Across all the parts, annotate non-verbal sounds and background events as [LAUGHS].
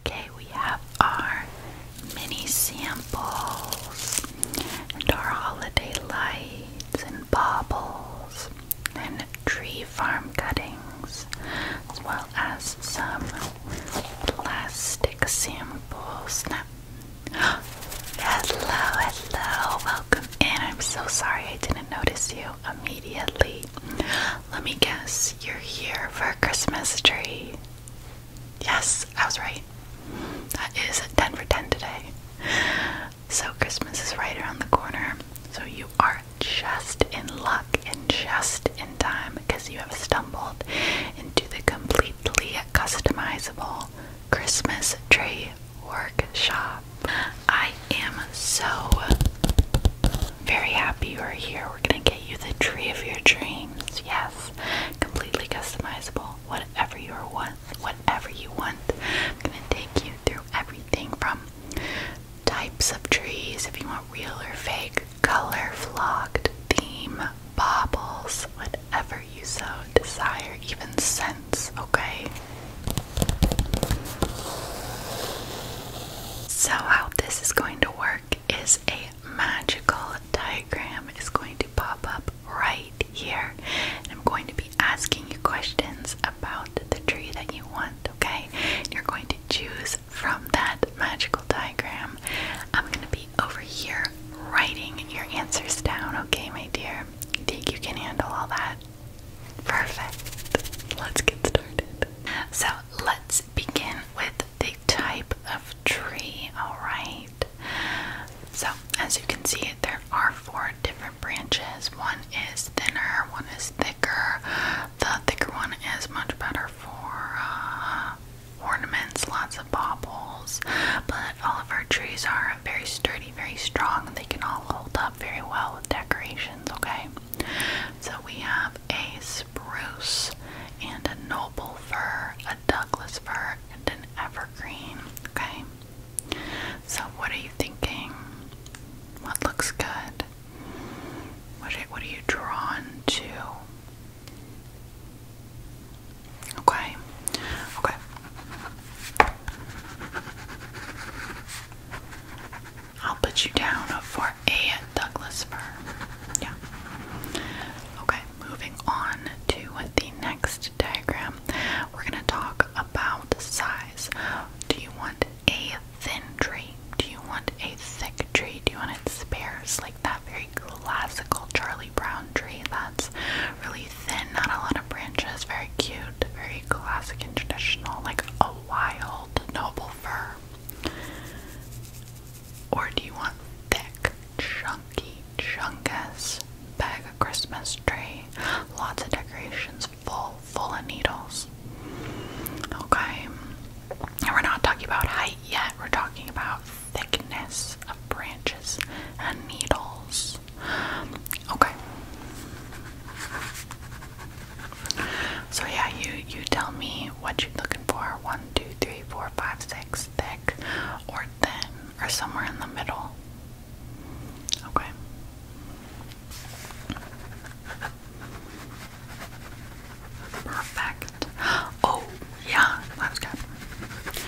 Okay, we have our mini samples and our holiday lights and baubles and tree farm cuttings as well as some plastic samples. Now, [GASPS] hello, hello, welcome And I'm so sorry I didn't notice you immediately. Let me guess, you're here for a Christmas tree. Yes, I was right. That is 10 for 10 today. So, Christmas is right around the corner. So, you are just in luck and just in time because you have stumbled into the completely customizable Christmas tree workshop. I am so very happy you are here. We're going to get get you the tree of your dreams. Yes, completely customizable. Whatever you want, whatever you want. I'm gonna take you through everything from types of trees, if you want real or fake, color, flocked, theme, baubles, whatever you so desire, even scents. Okay. So how this is going to work is a magical diagram It's going to pop up right here and I'm going to be asking you questions about the tree that you want, okay? you're going to choose from that magical diagram. I'm going to be over here writing your answers down, okay, my dear? think you can handle all that? Perfect. Let's get started. So, let's begin with the type of tree, alright? So, as you can see, there are four different branches. One is thinner, one is thicker. The thicker one is much better for uh, ornaments, lots of baubles. But all of our trees are very sturdy, very strong. They can all hold up very well with decorations, okay? So, we have a Bruce and a noble fir, a Douglas fir, and an evergreen. Okay? So, what are you thinking? What looks good? What are, what are you drawn to? Okay. Okay. I'll put you down for a Douglas fir. Yeah. Okay, moving on to the next diagram. We're going to talk about size. Do you want a thin tree? Do you want a thick tree? Do you want it sparse, like that very classical Charlie Brown tree that's really thin, not a lot of branches, very cute, very classic and traditional, like a wild noble fir? Or do you want thick, chunky, chunkus bag of Christmas tree? Lots of decorations, full, full of needles. Okay. we're not talking about height yet, we're talking about thickness of branches and needles. Okay. So yeah, you you tell me what you're looking for. One, two, three, four, five, six, thick or thin, or somewhere in the middle. Okay. Perfect. Oh, yeah, that good.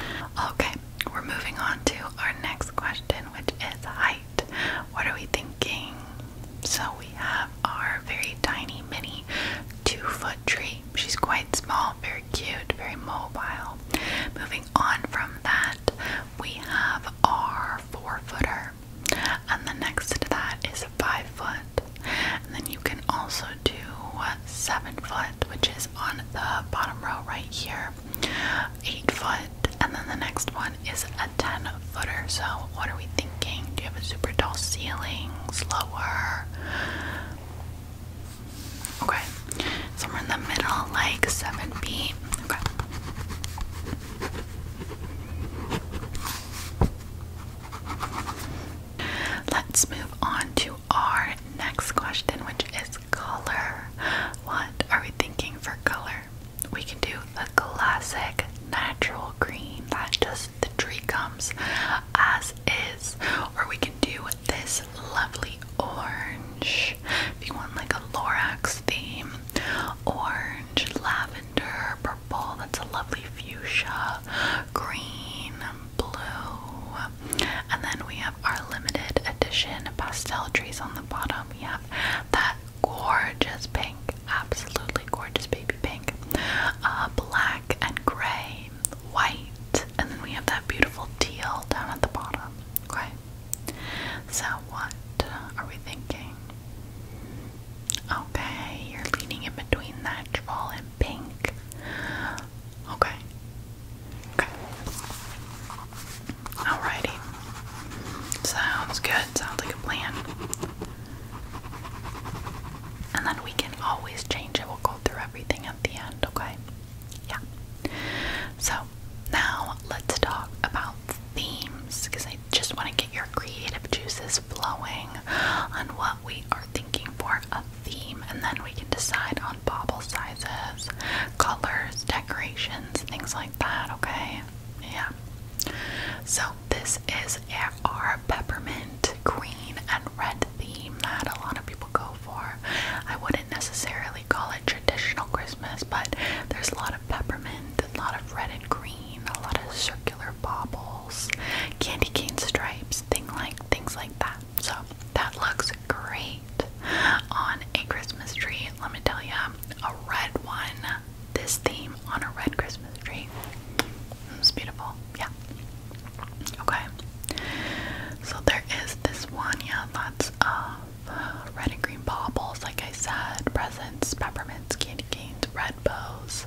Okay, we're moving on to our next question, which is height. What are we thinking? So we have our very tiny mini two foot tree. She's quite small, very cute, very mobile. Moving on from that, we have our four footer. And the next to that a is five foot. And then you can also do a seven foot, which is on the bottom row right here, eight foot, and then the next one is a 10 footer. So, what are we thinking? Do you have a super tall ceiling? Slower? Okay. Somewhere in the middle, like 7 feet. Okay. Let's move on to our next question, which is color. What are we thinking for color? we can do the classic natural green that just the tree comes as is, or we can do this lovely orange if you want like a Lorax theme, orange, lavender, purple, that's a lovely fuchsia, green, blue, and then we have our limited edition pastel trees on the bottom. We have that gorgeous pink, absolutely gorgeous baby pink, uh, black and gray, white, and then we have that beautiful teal down at the bottom. Okay, so what are we thinking? Okay, you're leaning in between that troll and pink. Okay. Okay. Alrighty. Sounds good. Sounds like a plan. And then we can always change it. We'll go through everything at the end, okay? Yeah. So now let's talk about themes because I just want to get your creative juices flowing on what we are thinking for a theme, and then we can decide on bobble sizes, colors, decorations, things like that, okay? Yeah. So this is our peppermint green and red theme that a lot of people go for. I wouldn't necessarily call it traditional Christmas, but there's a lot of peppermint, a lot of red and green, a lot of circular baubles, candy cane stripes, thing like things like that. So that looks great on a Christmas tree. Let me tell you, a red one this theme on a red Christmas tree. It's beautiful. Yeah. Okay. So there is this one. Yeah, lots of uh, red and green baubles, like I said, presents, peppermints, candy canes, red bows.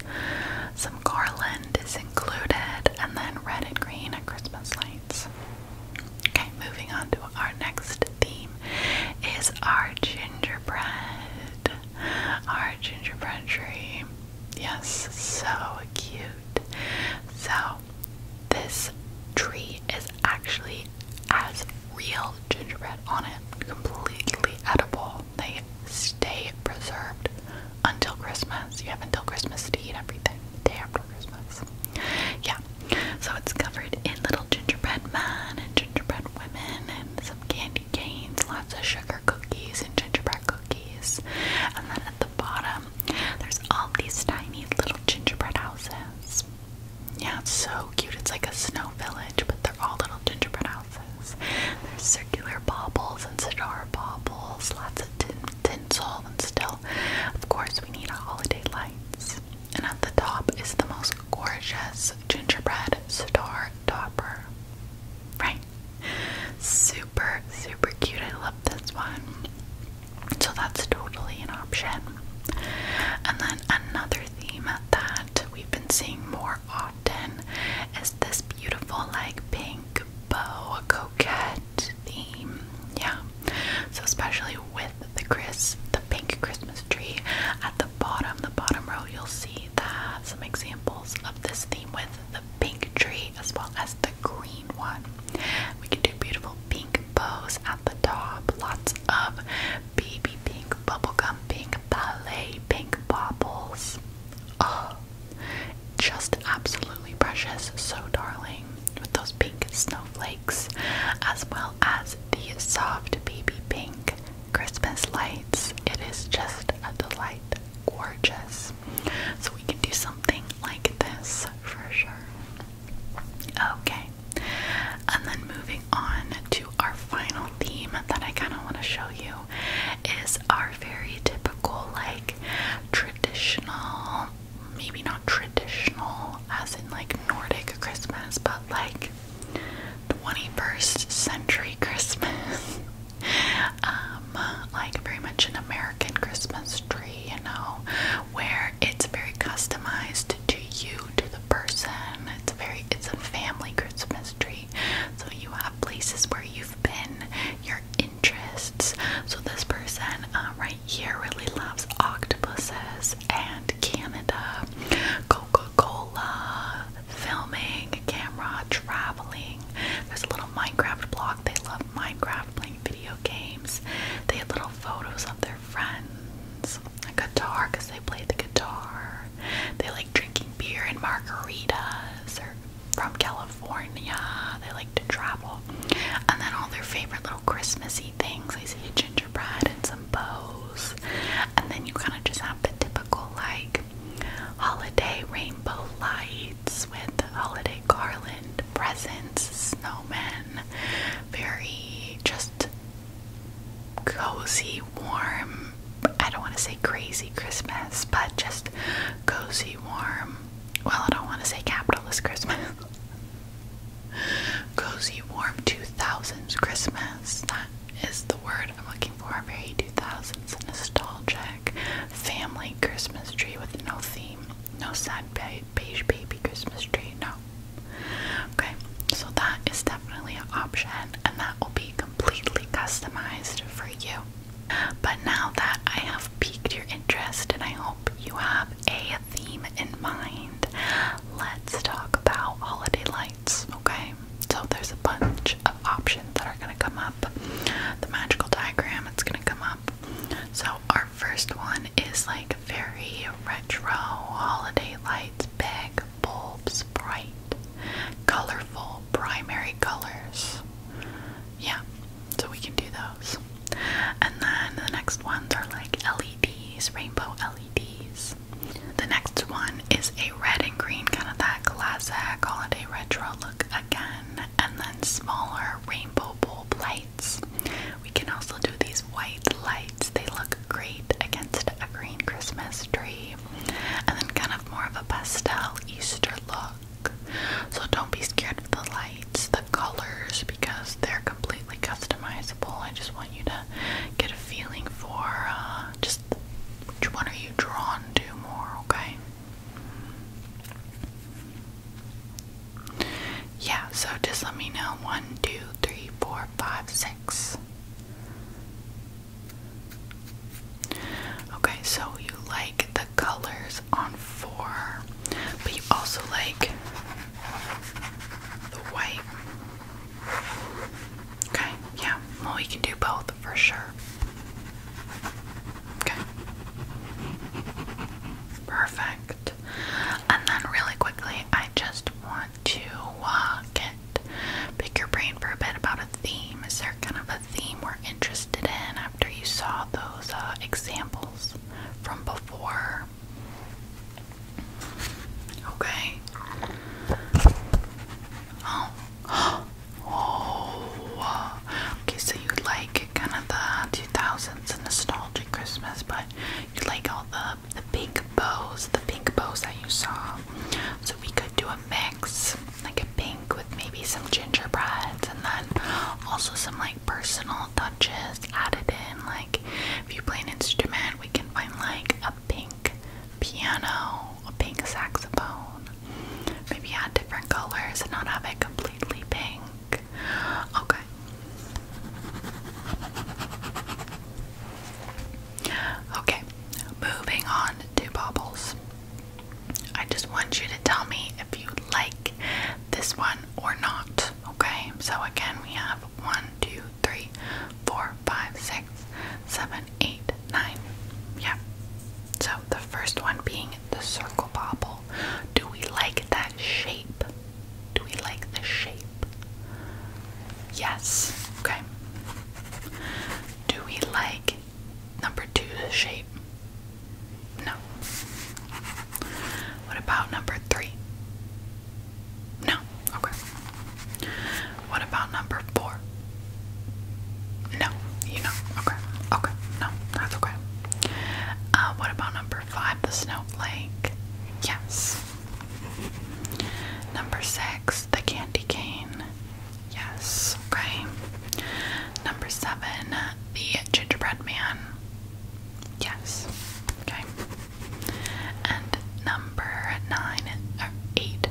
Some garland is included, and then red and green and Christmas lights. Okay, moving on to our next theme is our gingerbread gingerbread. Our gingerbread tree. Yes, so cute. So, this tree is actually as real gingerbread on it, completely edible. They stay preserved until Christmas. You have until Christmas to eat everything day after Christmas. Yeah, so it's covered in little gingerbread man gingerbread women and some candy canes, lots of sugar cookies and gingerbread cookies. And then at the bottom, there's all these tiny little gingerbread houses. Yeah, it's so cute. It's like a snow village, but they're all little gingerbread houses. There's circular baubles and cigar baubles, lots of tinsel, and still, of course, we need a holiday lights and at the top is the most gorgeous gingerbread star topper. Right? Super, super cute. I love this one. So that's totally an option. And then another theme that we've been seeing more often is this beautiful, like, pink bow coquette theme. Yeah. So, especially with the Chris, the pink Christmas tree. At the bottom, the bottom row, you'll see that some examples of this theme with the pink tree as well as the green one. We can do beautiful pink bows at the top, lots of baby pink, bubblegum pink, ballet pink baubles. Oh, just absolutely precious, so darling, with those pink snowflakes, as well as the soft baby pink Christmas lights. It is just a delight. Gorgeous. So we can do something like this for sure. Okay. And then moving on to our final theme that I kind of want to show you is our very typical, like traditional, maybe not traditional as in like Nordic Christmas, but like 21st century Christmas. [LAUGHS] Um, like very much an American Christmas tree, you know, where it's very customized to you, to the person. It's very it's a family Christmas tree. So you have places where you've been, your interests. So this person um, right here really loves octopuses and Canada, Coco cola filming, camera, traveling. There's a little Minecraft block. They love Minecraft, playing video games. They have little photos of their friends. A guitar, because they play the guitar. They like drinking beer and margaritas. They're from California. They like to travel. And then all their favorite little Christmassy things. They see gingerbread and bows, and then you kind of just have the typical like holiday rainbow lights with holiday garland, presents, snowmen, very just cozy, warm. I don't want to say crazy Christmas, but just cozy, warm. Well, I don't want to say capitalist Christmas. [LAUGHS] Cozy Warm 2000s Christmas. That is the word I'm looking for. Very 2000s nostalgic family Christmas tree with no theme. No sad beige baby Christmas tree. No. Okay, so that is definitely an option and that will be completely customized for you. But now that I have piqued your interest and I hope you have a theme in mind, let's talk about holiday lights, okay? So there's a bunch of options that are gonna come up. The magical diagram, it's gonna come up. So our first one is like very retro holiday lights, big bulbs, bright, colorful primary colors. Yeah, so we can do those. And then the next ones are like LEDs, rainbow LEDs. The next one is a red and green, kind of that classic holiday retro look again, and then smaller rainbow bulb lights. We can also do these white lights, they look great against a green Christmas tree, and then kind of more of a pastel Easter look. So don't be scared of the lights, the colors, because they're completely customizable. I just want you to get a feeling for uh, just which one are you drawn to more, okay? Yeah, so just let me know. One, two, three, four, five, six. Okay, so you like the colors on four, but you also like the white Okay, yeah. Well, we can do both for sure. Okay. Perfect. And then, really quickly, I just want to uh, get pick your brain for a bit about a theme. Is there kind of a theme we're interested in after you saw those uh, examples from before? Okay. Oh. [GASPS] Oh. Okay, so you like kind of the 2000s nostalgic Christmas, but you like all the the pink bows, the pink bows that you saw. So we could do a mix, like a pink with maybe some gingerbreads and then also some like personal touches added in, like if you play an instrument, we can find like a pink piano, a pink saxophone. Maybe add different colors and not have it completely pink. Okay. Okay, moving on to bubbles. I just want you to tell me if you like this one or not. Okay, so again, we have one, two, three, four, five, six, seven, eight, nine. Yeah. So the first one being the circle bobble. Do we like that shape? Do we like the shape? Yes. Okay. Do we like number two the shape? No. What about number three? No. Okay. What about number four? No. You know. Okay. Okay. No. That's okay. Uh, what about number five? The snowflake. Yes. Number six. The candy cane. Yes. Okay. Number seven. The gingerbread man. Yes. Okay. And number nine or eight,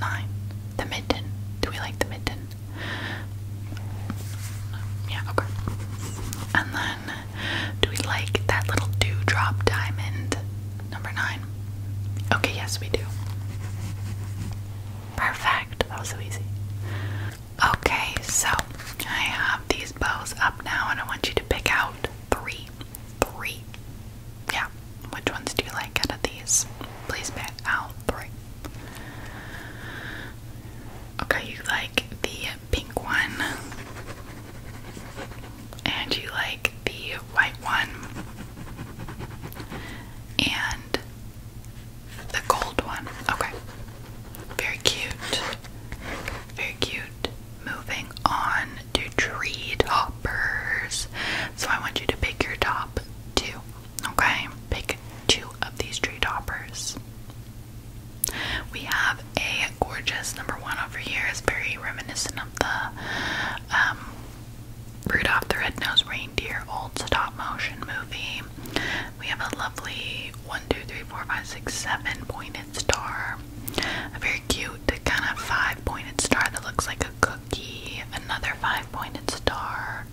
nine, the mitten. Do we like the mitten? Yeah, okay. And then, do we like that little dewdrop diamond? Number nine. Okay, yes, we do. Perfect. That was so easy. Okay, so I have these these bows up now and I want you to pick out three. Three. Yeah. Which ones do you like out of these? Please pick out three. Okay, you like the pink one. And you like the white one. And the gold one. Okay. Very cute. Very cute. Moving on to tree toppers. So I want you to pick your top two. Okay? Pick two of these tree toppers. We have a gorgeous number one over here. It's very reminiscent of the um, Rudolph the Red-Nosed Reindeer old stop motion movie. We have a lovely one, two, three, four, five, six, seven pointed pointed star, a very cute kind of five pointed star that looks like a cookie, another five pointed star,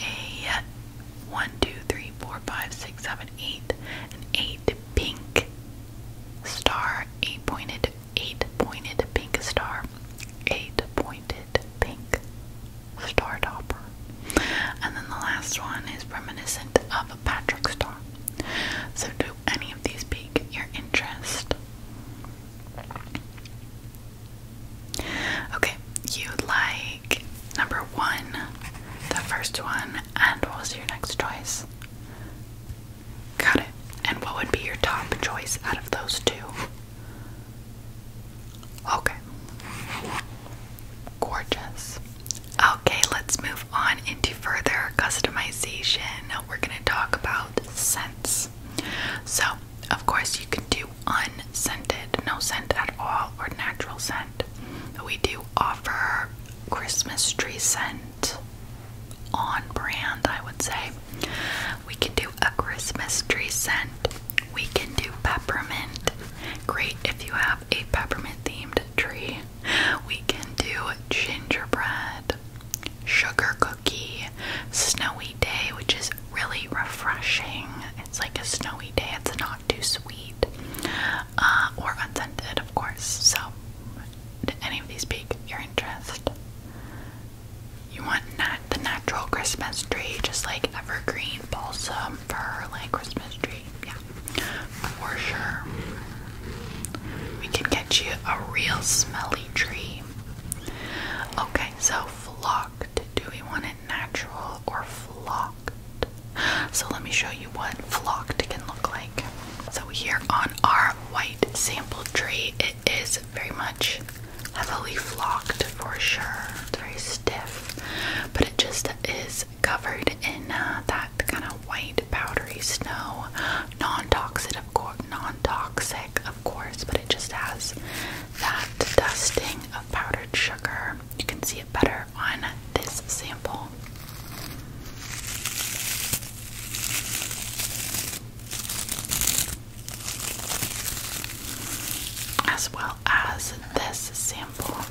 a one, two, three, four, five, six, seven, eight, an eight pink star, eight pointed, eight pointed pink star, eight pointed pink star topper. And then the last one is reminiscent of Patrick Star. So, do any of these pique your interest? Okay, you like number one, the first one, and what was your next choice? Got it. And what would be your top choice out of those two? Okay. Gorgeous. Okay, let's move on into further customization. We're going to talk about scents. So, of course, you can do unscented, no scent at all, or natural scent. We do offer Christmas tree scent on brand, I would say. We can do a Christmas tree scent. We can do peppermint. Great if you have a peppermint themed tree we can do gingerbread, sugar cookie, snowy day, which is really refreshing. It's like a snowy day, it's not too sweet uh, or unscented, of course. So, did any of these pique your interest? You want nat the natural Christmas tree, just like evergreen balsam for like Christmas tree. Yeah for sure. We can get you a real smelly tree. Okay, so flocked. Do we want it natural or flocked? So let me show you what flocked can look like. So here on our white sample tree, it is very much heavily flocked for sure. It's very stiff, but it just is covered in uh, that kind of white powdery snow. Non-toxic, of course. Non-toxic, of course, but it just has that dusting of powdered sugar. You can see it better on this sample. As well as this sample.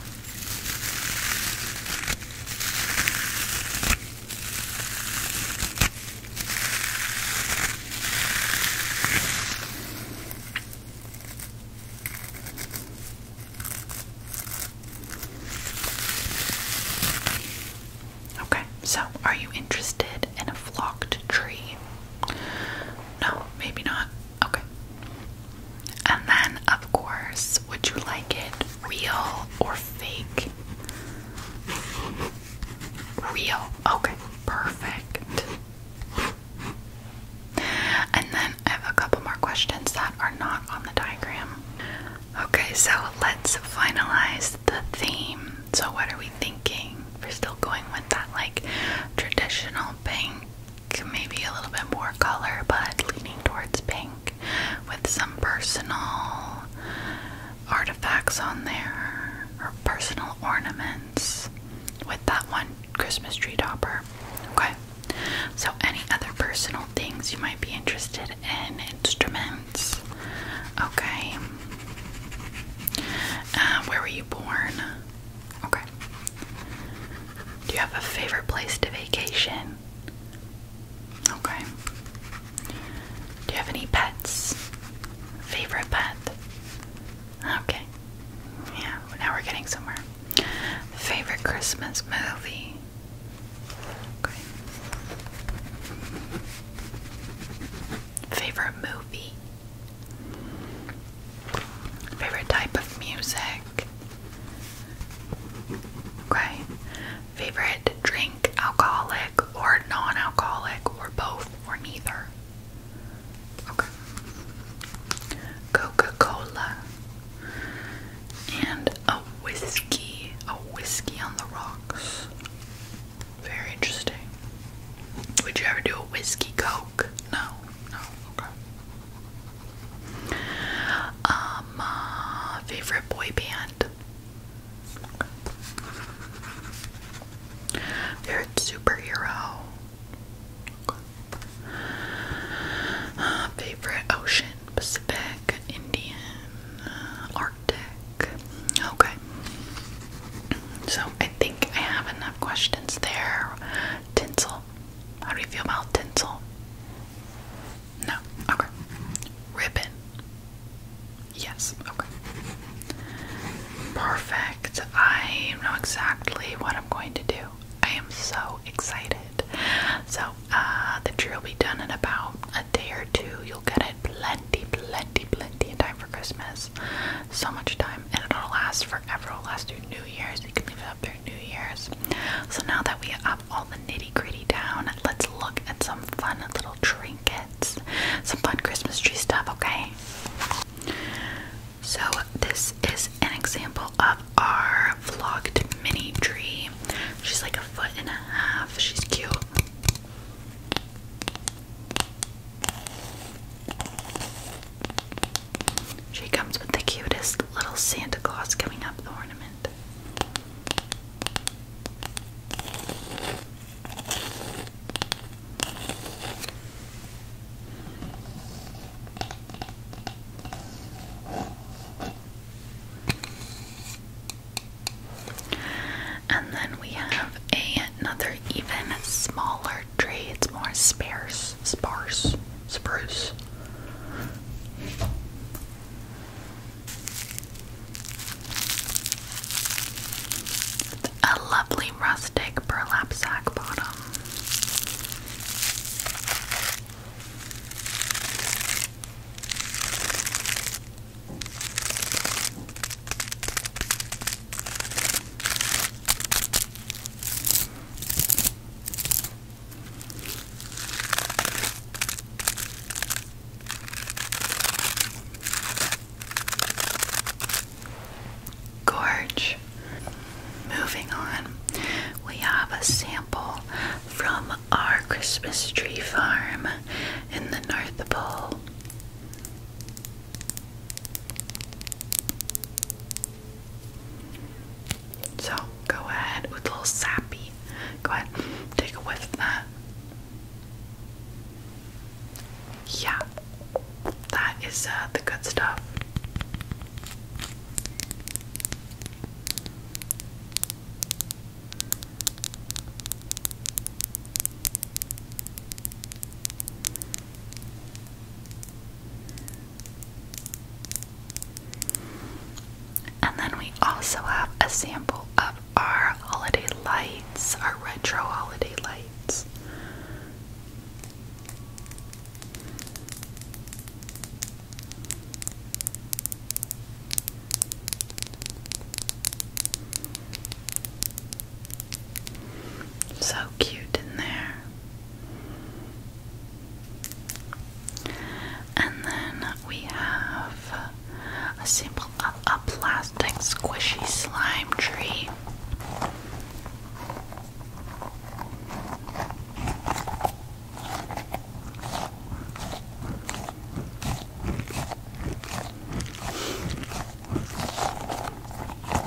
Okay, so are you interested in a flocked tree? No, maybe not. Okay. And then, of course, would you like it real or fake? Real. Okay, perfect. And then I have a couple more questions that are not on the diagram. Okay, so let's finalize the theme. So, what are we thinking? We're still going with that like traditional pink maybe a little bit more color, but leaning towards pink with some personal artifacts on there or personal ornaments with that one Christmas tree topper. Okay, so any other personal things you might be interested in, instruments. Okay, uh, where were you born? Okay. Do you have a favorite place to vacation? Okay. Do you have any pets? Favorite pet? Okay. Yeah, now we're getting somewhere. Favorite Christmas movie? Okay. Favorite movie? Favorite type of music? Okay. Favorite drink, alcoholic or non alcoholic, or both, or neither? Okay. Coca Cola. And a whiskey. A whiskey on the rocks. Very interesting. Would you ever do a whiskey coke? No, no, okay. Um, uh, favorite boy band. Favorite superhero. Uh, favorite ocean, Pacific, Indian, uh, Arctic. Okay. So I think I have enough questions there. Tinsel. How do you feel about tinsel? No. Okay. Ribbon. Yes. Okay. Perfect. I know exactly what I'm going to do. I am so excited. So, uh, the tree will be done in about a day or two. You'll get it plenty, plenty, plenty in time for Christmas. So much time. And it'll last forever. It'll last through New Year's. You can leave it up there New Year's. So now that we have all the nitty gritty down, let's look at some fun little trinkets, some fun Christmas tree stuff, okay? So, this is an example of our vlogged mini tree. She's like a foot and a half, she's cute. She comes with the cutest little Santa Claus coming up the ornament. And then we have another even smaller tree. It's more sparse sparse, spruce. A lovely rustic burlap sack bottom. Gorge. Moving on, we have a sample from our Christmas tree farm in the North Pole. So go ahead with a little sappy. Go ahead, take a whiff of that. Yeah, that is uh, the good stuff. And then we also have a sample of our holiday lights, our retro holiday lights. So cute in there. And then we have a simple a, plastic squishy slime tree.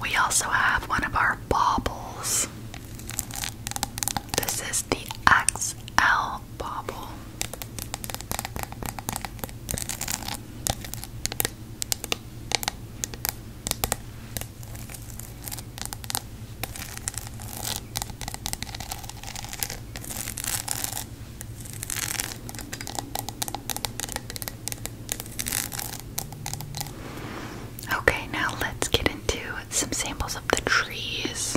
We also have one of our baubles. This is the XL bauble. Okay, now let's get into some samples of the trees.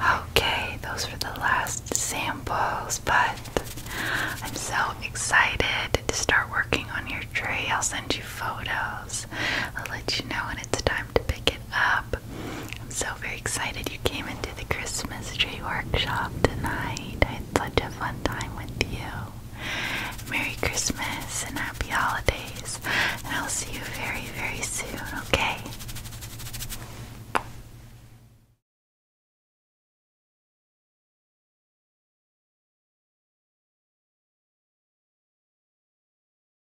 Okay, those were the last samples, but I'm so excited to start working on your tree. I'll send you photos. I'll let you know when it's time to pick it up. I'm so very excited you came into the Christmas tree workshop tonight. I had such a fun time with you. Merry Christmas and happy holidays, and I'll see you very, very soon, okay?